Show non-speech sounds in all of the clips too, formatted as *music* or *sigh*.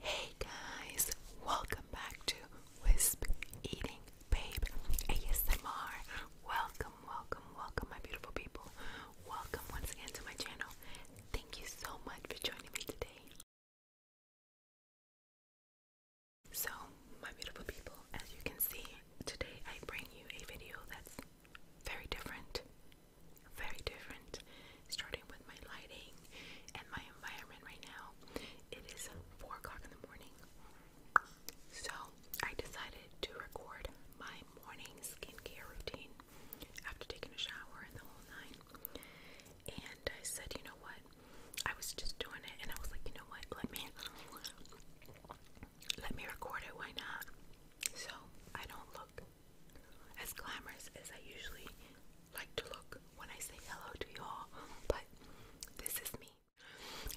Hey guys, welcome back to Wisp Eating Babe ASMR. Welcome, welcome, welcome, my beautiful people. Welcome once again to my channel. Thank you so much for joining me today. So, my beautiful people, as you can see, today I bring you a video that's very different. Very different starting with my lighting and my environment right now. It is 4 o'clock in the morning. So I decided to record my morning skincare routine after taking a shower and the whole nine. And I said, you know what? I was just doing it and I was like, you know what? Let me let me record it, why not? So I don't look as glamorous as I usually like to look when I say hello to y'all, but this is me.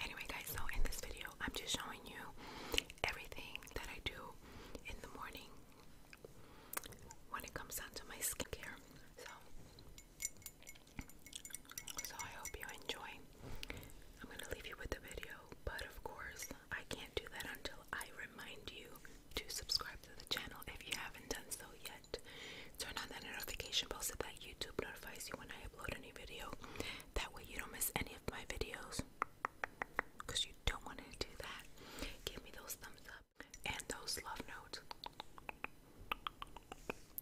Anyway, guys, so in this video, I'm just showing you everything that I do in the morning when it comes down to my skincare. So, so I hope you enjoy. I'm gonna leave you with the video, but of course, I can't do that until I remind you to subscribe to the channel if you haven't done so yet. Turn on that notification bell so that YouTube notifies you when I upload a new video. That way you don't miss any of my videos. Because you don't want to do that. Give me those thumbs up and those love notes.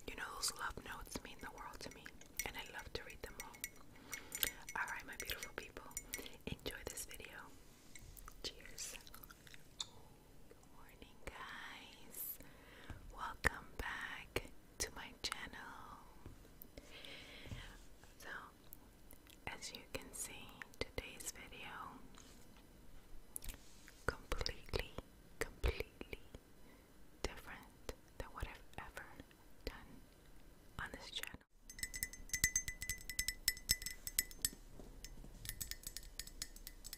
You know, those love notes mean the world to me, and I love to read them all. Alright, my beautiful people, enjoy this video. Cheers. Good morning, guys. Welcome back to my channel. So, as you can see, today's video completely, completely different than what I've ever done on this channel. And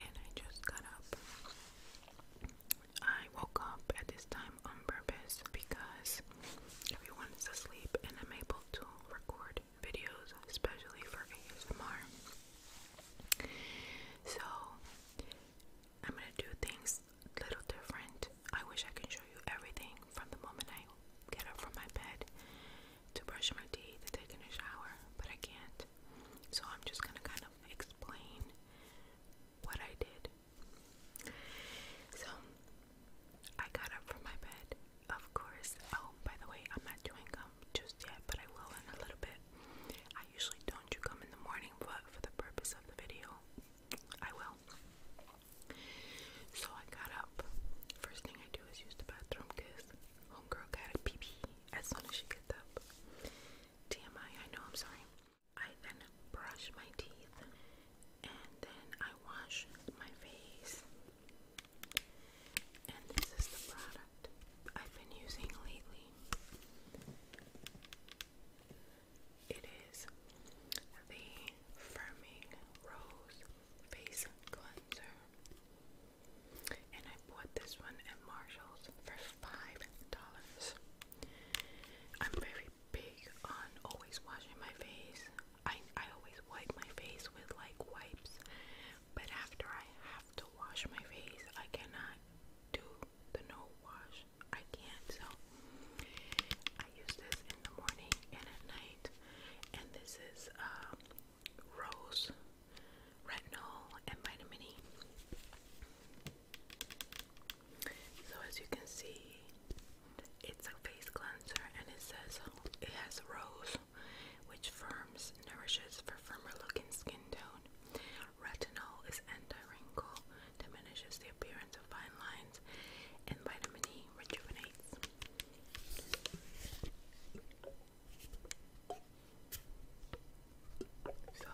I just got up. I woke up at this time on purpose because everyone is asleep and I'm able to record videos, especially for ASMR. So I'm gonna do things little different. I wish I can show you everything from the moment I get up from my bed to brush my teeth to taking a shower, but I can't. So I'm just gonna kind of explain what I did. So I got up from my bed. Of course. Oh, by the way, I'm not doing um, just yet, but I will in a little bit. I usually don't do come in the morning, but for the purpose of the video, I will. So I got up. First thing I do is use the bathroom because homegirl got a pee pee as soon as she gets up. TMI, I know, I'm sorry. I then brush my teeth and then I wash my face. And this is the product. I've been using lately. It is the Firming Rose Face Cleanser. And I bought this one at Marshall's for $5. I'm very big on always washing my face. I, I always wipe my face with like wipes but after I have to wash my face, I cannot do the no wash. I can't. So I use this in the morning and at night. And this is um, rose, retinol, and vitamin E. So as you can see, it's a face cleanser and it says it has rose, which firms, nourishes for firmer looking skin tone. Retinol is anti-wrinkle, diminishes the appearance of fine lines, and vitamin E rejuvenates. So,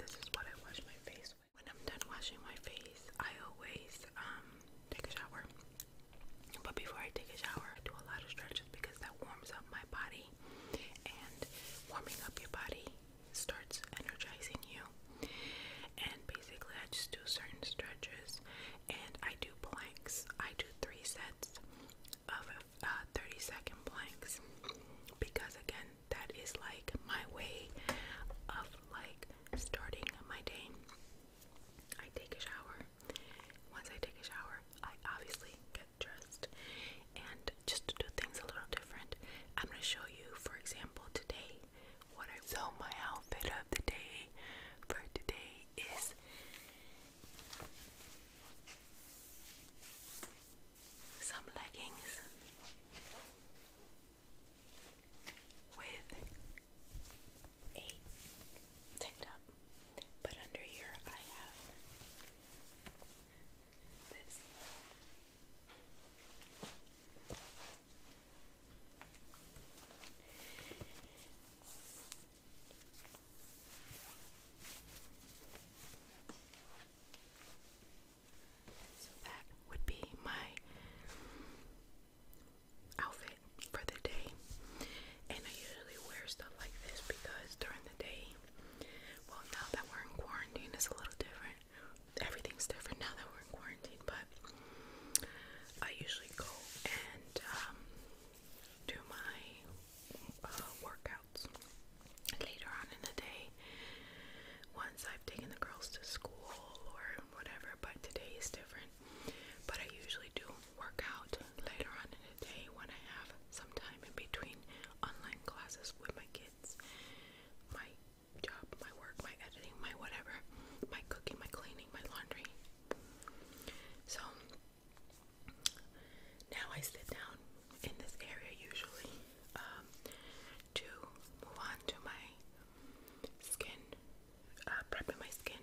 this is what I wash my face with. When I'm done washing my face, I always um, take a shower. But before I take a shower, I do a lot of stretches because that warms up my body and warming up your body starts energizing you. And basically, I just do certain stretches, and I do planks. I do three sets of uh, 30 second planks because, again, that is like my way of like starting my day. I take a shower. Once I take a shower, I obviously get get and just to do things a little different. I'm gonna show you, for example, today what I so my outfit of the day for today is some leggings with a tank top. But under here, I have this. So that would be my outfit for the day. And I usually wear stuff like this because during the day well, now that we're in quarantine, it's a little different. Everything's different now that we're in quarantine, but I usually go and um, do my uh, workouts later on in the day once I've taken the girls to school or whatever, but today is different. But I usually do work out later on in day when I have some time in between online classes with my kids, my job, my work, my editing, my whatever, my cooking, my cleaning, my laundry. So now I sit down in this area usually um, to move on to my skin, uh, prepping my skin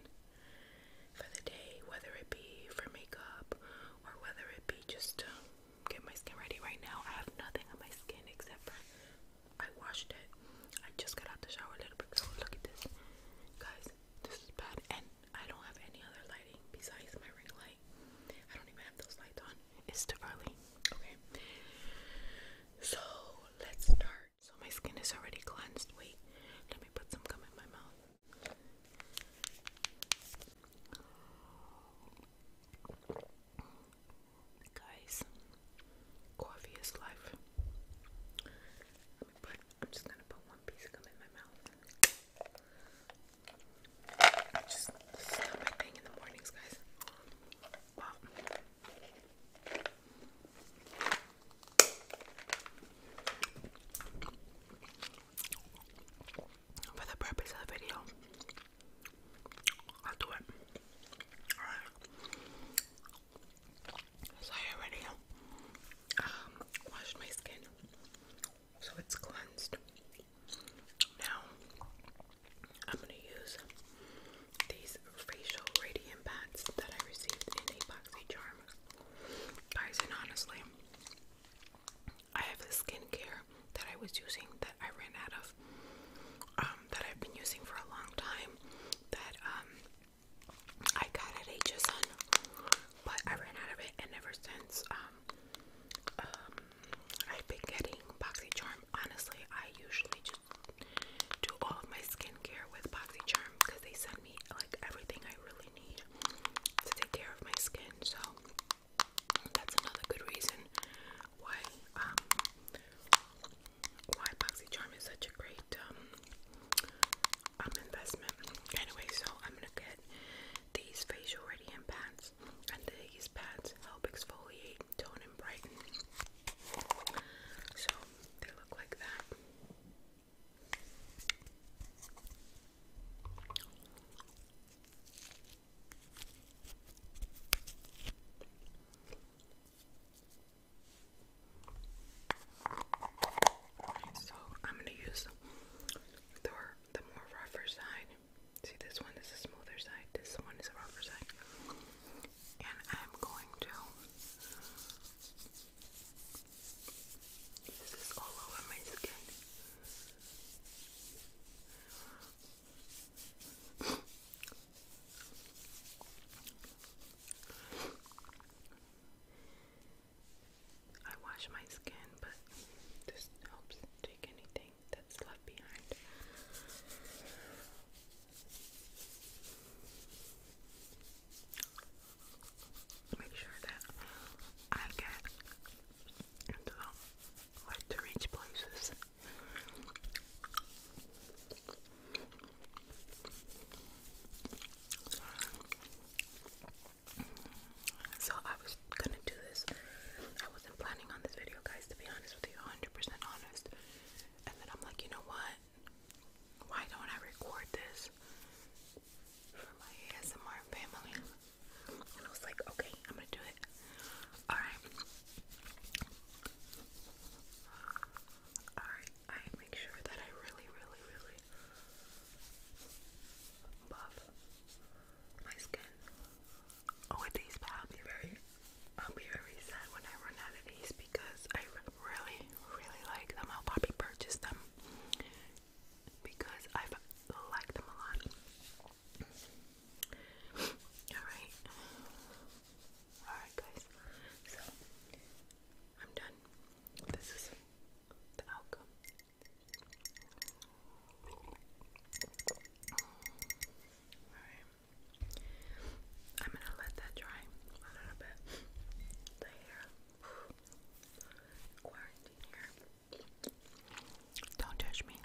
for the day, whether it be for makeup or whether it be just to get my skin ready right now. I have nothing on my skin except for I washed it. I just got out the shower a little bit ago. Look at this, guys. This is bad, and I don't have any other lighting besides my ring light. I don't even have those lights on. It's too early. Okay, so let's start. So my skin is already cleansed. Wait, let me put some gum in my mouth. Guys, coffee is life. Let me put, I'm just gonna put one piece of gum in my mouth. just, my thing in the mornings, guys for the purpose of the video. I'll do it. So I already um, washed my skin. So it's cleansed. Now I'm gonna use these facial radiant pads that I received in a boxy charm. Guys, and honestly, I have the skincare that I was using that I ran out of, um, that I've been using for a long time, that um, I got at HSN, but I ran out of it, and ever since um, um, I've been getting BoxyCharm. Honestly, I usually just do all of my skincare with BoxyCharm because they send me like everything I really need to take care of my skin. So that's another good reason why um why BoxyCharm is such a great um, um investment. Anyway, so I'm gonna get these facial radiant pads and these pads help exfoliate, tone and brighten. So they look like that. So I'm gonna use the more rougher side. See this one is a smoother side. This one is a rougher side, and I'm going to. This all over my skin. I wash my skin, but this helps take anything that's left behind. Make sure that I get and um, like to reach places. So I was gonna do this. I wasn't planning on this video, guys, to be honest with you, 100% honest. And then I'm like, you know what? Why don't I record this for my ASMR family? I was like, okay, I'm gonna do it. Alright. Alright, I make sure that I really, really, really buff my skin. Oh, with these, I'll be very, I'll be very sad when I run out of these because I really, really like them. I'll probably purchase them because i like them a lot. Alright. Alright, guys. So, I'm done. This is the outcome. Alright. I'm gonna let that dry a little bit. Quarantine hair. Don't touch me.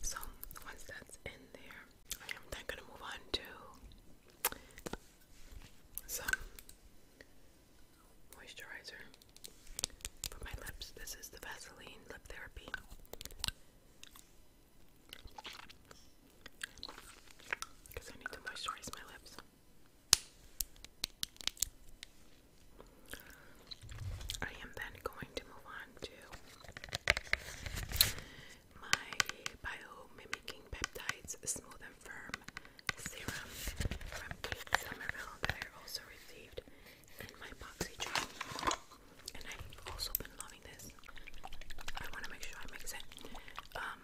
So once that's in there, I am then gonna move on to some moisturizer for my lips. This is the Vaseline Lip Therapy. Because I need to moisturize my lips. I am then going to move on to my biomimicking peptides smooth and firm serum from Kate that I also received in my boxy job. And I've also been loving this. I want to make sure I mix it. Um,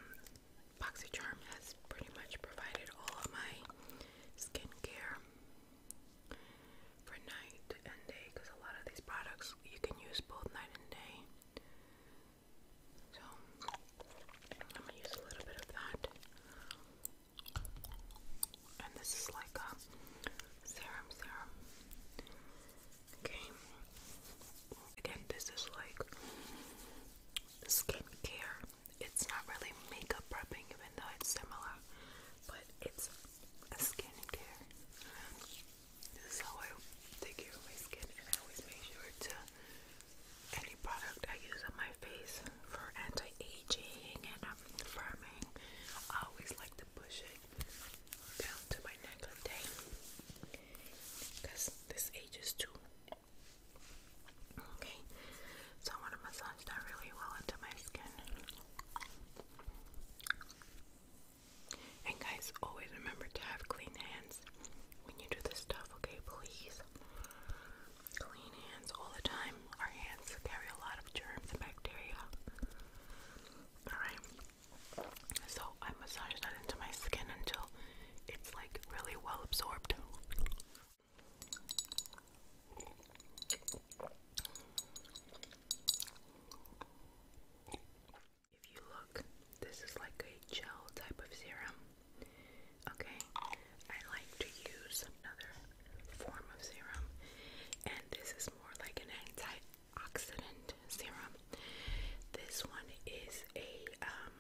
BoxyCharm has pretty much provided all of my skincare for night and day because a lot of these products you can use both night and day. So I'm gonna use a little bit of that. And this is like a serum serum. Okay. Again, this is like skincare it's not really makeup prepping, even though it's similar, but it's a skincare. This is how I take care of my skin, and I always make sure to any product I use on my face for anti-aging and um, firming. I always like to push it down to my neck a day because this ages too. Okay, so I want to massage that really well into my skin. And guys, always remember to have clean hands when you do this stuff, okay? Please. Clean hands all the time. Our hands carry a lot of germs and bacteria. Alright. So I massage that into my skin until it's like really well absorbed. If you look, this is like a gel type of serum. Okay, I like to use another form of serum, and this is more like an antioxidant serum. This one is a um,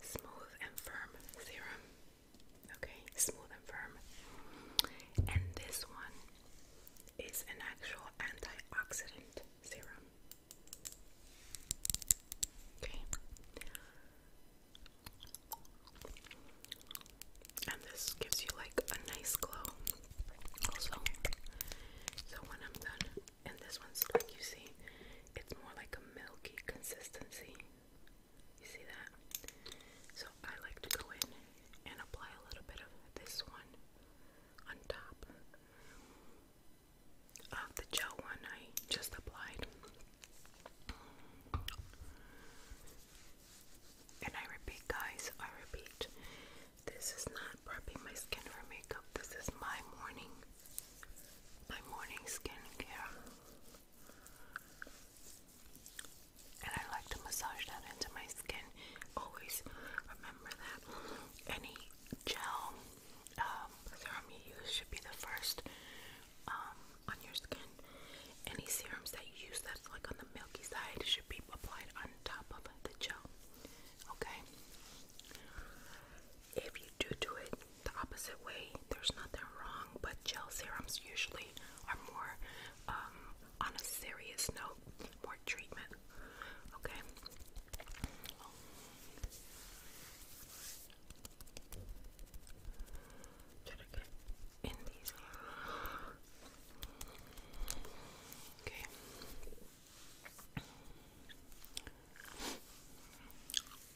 smooth and firm serum. Okay, smooth and firm. And this one is an actual antioxidant serum. Okay. And this gives you like a nice glow. Also, so when I'm done, and this one's like you see, it's more like a milky consistency. You see that? So I like to go in and apply a little bit of this one on top of the gel one I just applied. And I repeat, guys, I repeat, this is not prepping my skin for makeup. This is my morning, my morning skincare. And I like to massage that into my skin. Always remember that any gel um, serum you use should be the first um, on your skin. Any serums that you use that's like on the milky side should be applied on top of the gel. Okay? If you do do it the opposite way, there's nothing wrong, but gel serums usually are more um, on a serious note, more treatment. Okay. Okay.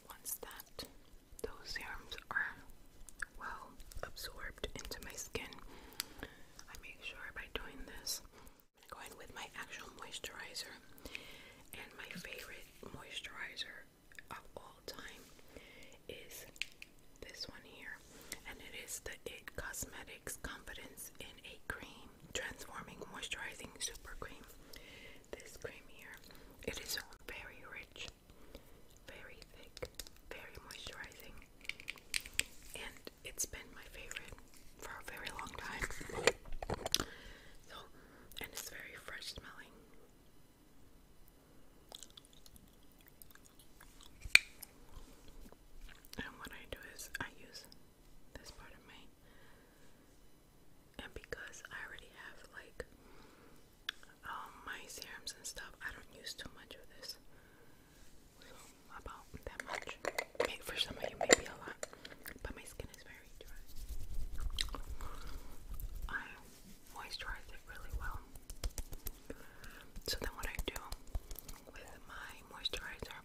Once that those serums are well absorbed into my skin. I make sure by doing this, going with my actual moisturizer. And my favorite moisturizer of all time is this one here. And it is the It Cosmetics Confidence in a Cream Transforming Moisturizing Super Cream. This cream here, it is very rich very thick, very moisturizing, and it's been my favorite for a very long time. So, and it's very fresh smelling. And what I do is I use this part of my and because I already have like um, my serums and stuff, I don't use too much of this. about that much. for some of you, maybe a lot. But my skin is very dry. I moisturize it really well. So then what I do with my moisturizer,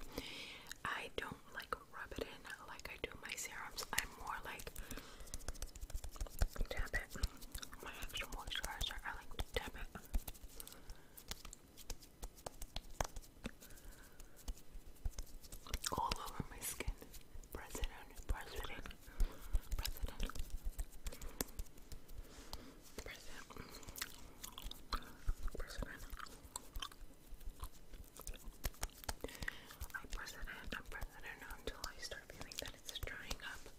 I don't like rub it in like I do my serums. I'm more like Tap it. My extra moisturizer, I like to tap it. All over my skin. President, president, president, president, I press it in, press it until I start feeling that it's drying up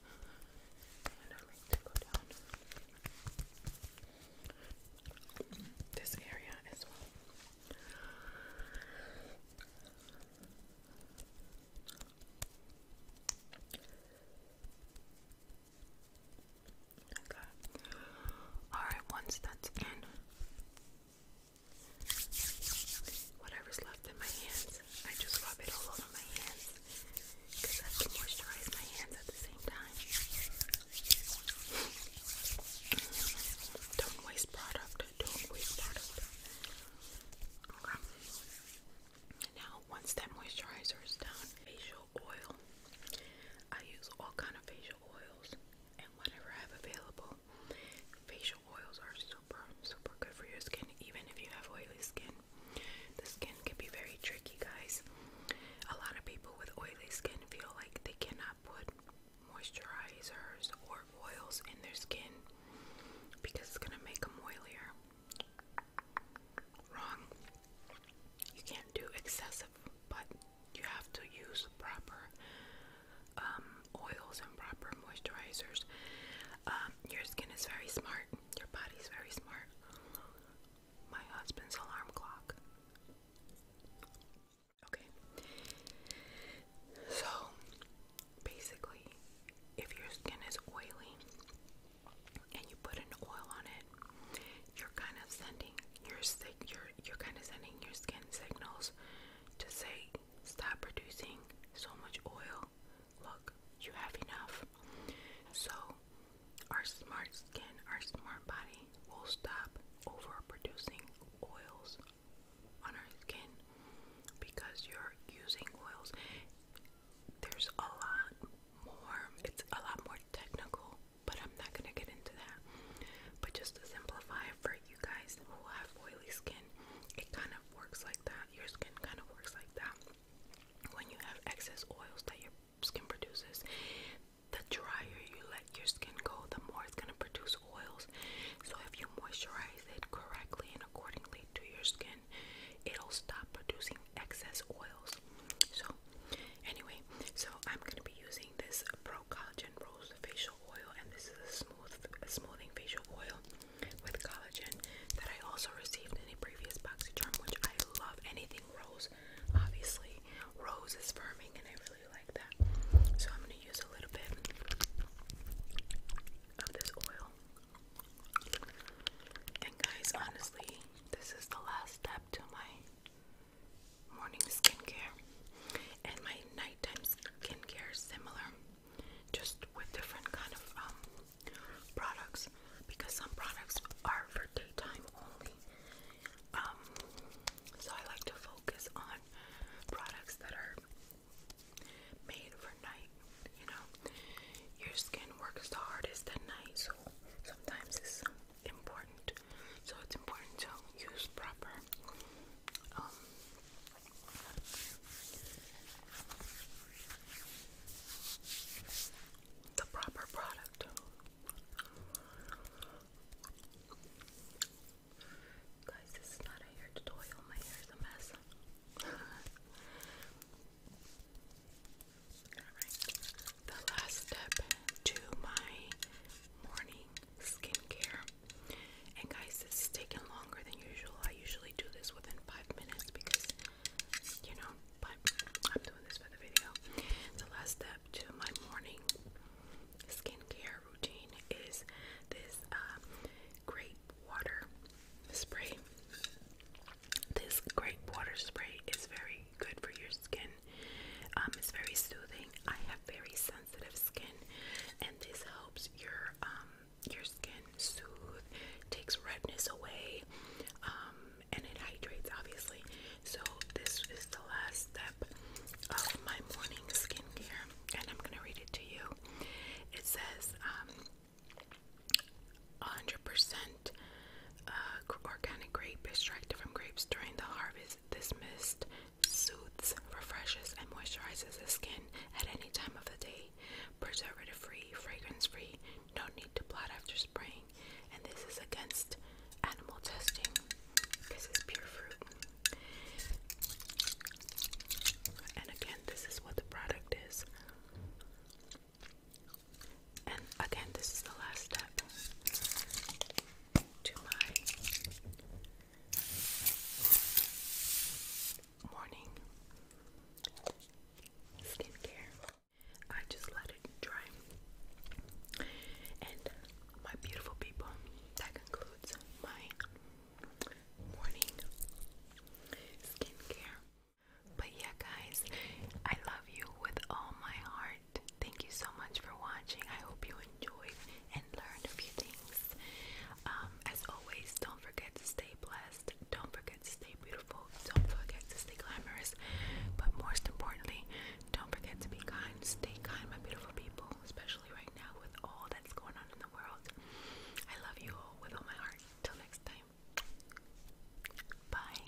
this area as well. Okay. Alright, once that's in, whatever's left in my hands, I just rub it all over my hands because I have moisturize my hands at the same time. Don't waste product. Don't waste product. Okay. Now, once that moisturizer is done, facial oil. I use all kind of facial oils and whatever I have available. Facial oils are super, super good for your skin, even if you have oily skin. The skin can be very tricky, guys. A lot of people with oily skin feel like they cannot put moisturizers or oils in their skin because it's gonna make them oilier. Wrong. You can't do excessive, but you have to use proper um, oils and proper moisturizers. Um, your skin is very smart. Your body's very smart. My husband's alarm clock. Okay. So, basically, if your skin is oily and you put an oil on it, you're kind of sending your you're, you're kind of sending your skin signals to say stop producing so much oil look, you have enough. So, our smart skin, our smart body will stop overproducing oils on our skin because you're using oils. There's a lot more, it's a lot more technical, but I'm not going to get into that. But just to simplify for you guys who have oily skin, it kind of works like that. Your skin kind of works like that when you have excess oils that your skin produces, the drier you let your skin go, the more it's going to produce oils. So, if you moisturize it correctly and accordingly to your skin, it'll stop producing excess oils. So, anyway, so I'm going to be using this Pro Collagen Rose facial oil, and this is a smooth, a smoothing facial oil with collagen that I also received in a previous charm, which I love. Anything rose, obviously. Rose is firming, and I really like that. So I'm going to use a little bit of this oil. And guys, honestly, this is the last step to my morning skincare and my nighttime skincare is similar just with different kind of um, products because some products are for daytime only. Um, so I like to focus on products that are made for night. You know, your skin works the hardest at night, so sometimes it's important. So it's important to use proper. Um, the proper product. Guys, this is not a hair tutorial. My hair is a mess. *laughs* the last step to my morning skincare. And guys, this is taking longer than usual. I usually do this within five minutes because you know, but I'm doing this for the video. The last step to my morning skincare routine is this um, grape water spray. This grape water spray is very good for your skin. Um, it's very soothing. I have very sensitive skin, and this helps your um, your skin soothes, takes redness away, um, and it hydrates obviously. So, this is the last step of my morning skin care, and I'm gonna read it to you. It says, 100% um, uh, organic grape extract from grapes during the harvest. This mist soothes, refreshes, and moisturizes the skin at any time of the day. Preservative free, fragrance free, no need to blot after spraying. And this is against animal testing. This is pure fruit. And again, this is what the product is. And again, this is the last step to my morning skincare. I just let it dry. And my beautiful people, that concludes my morning skincare. But yeah, guys, I love you with all my heart. Thank you so much for watching. I hope you enjoyed and learned a few things. Um, as always, don't forget to stay blessed. Don't forget to stay beautiful. Don't forget to stay glamorous. But most importantly, don't forget to be kind. Stay kind, my beautiful people, especially right now with all that's going on in the world. I love you all with all my heart. Till next time. Bye.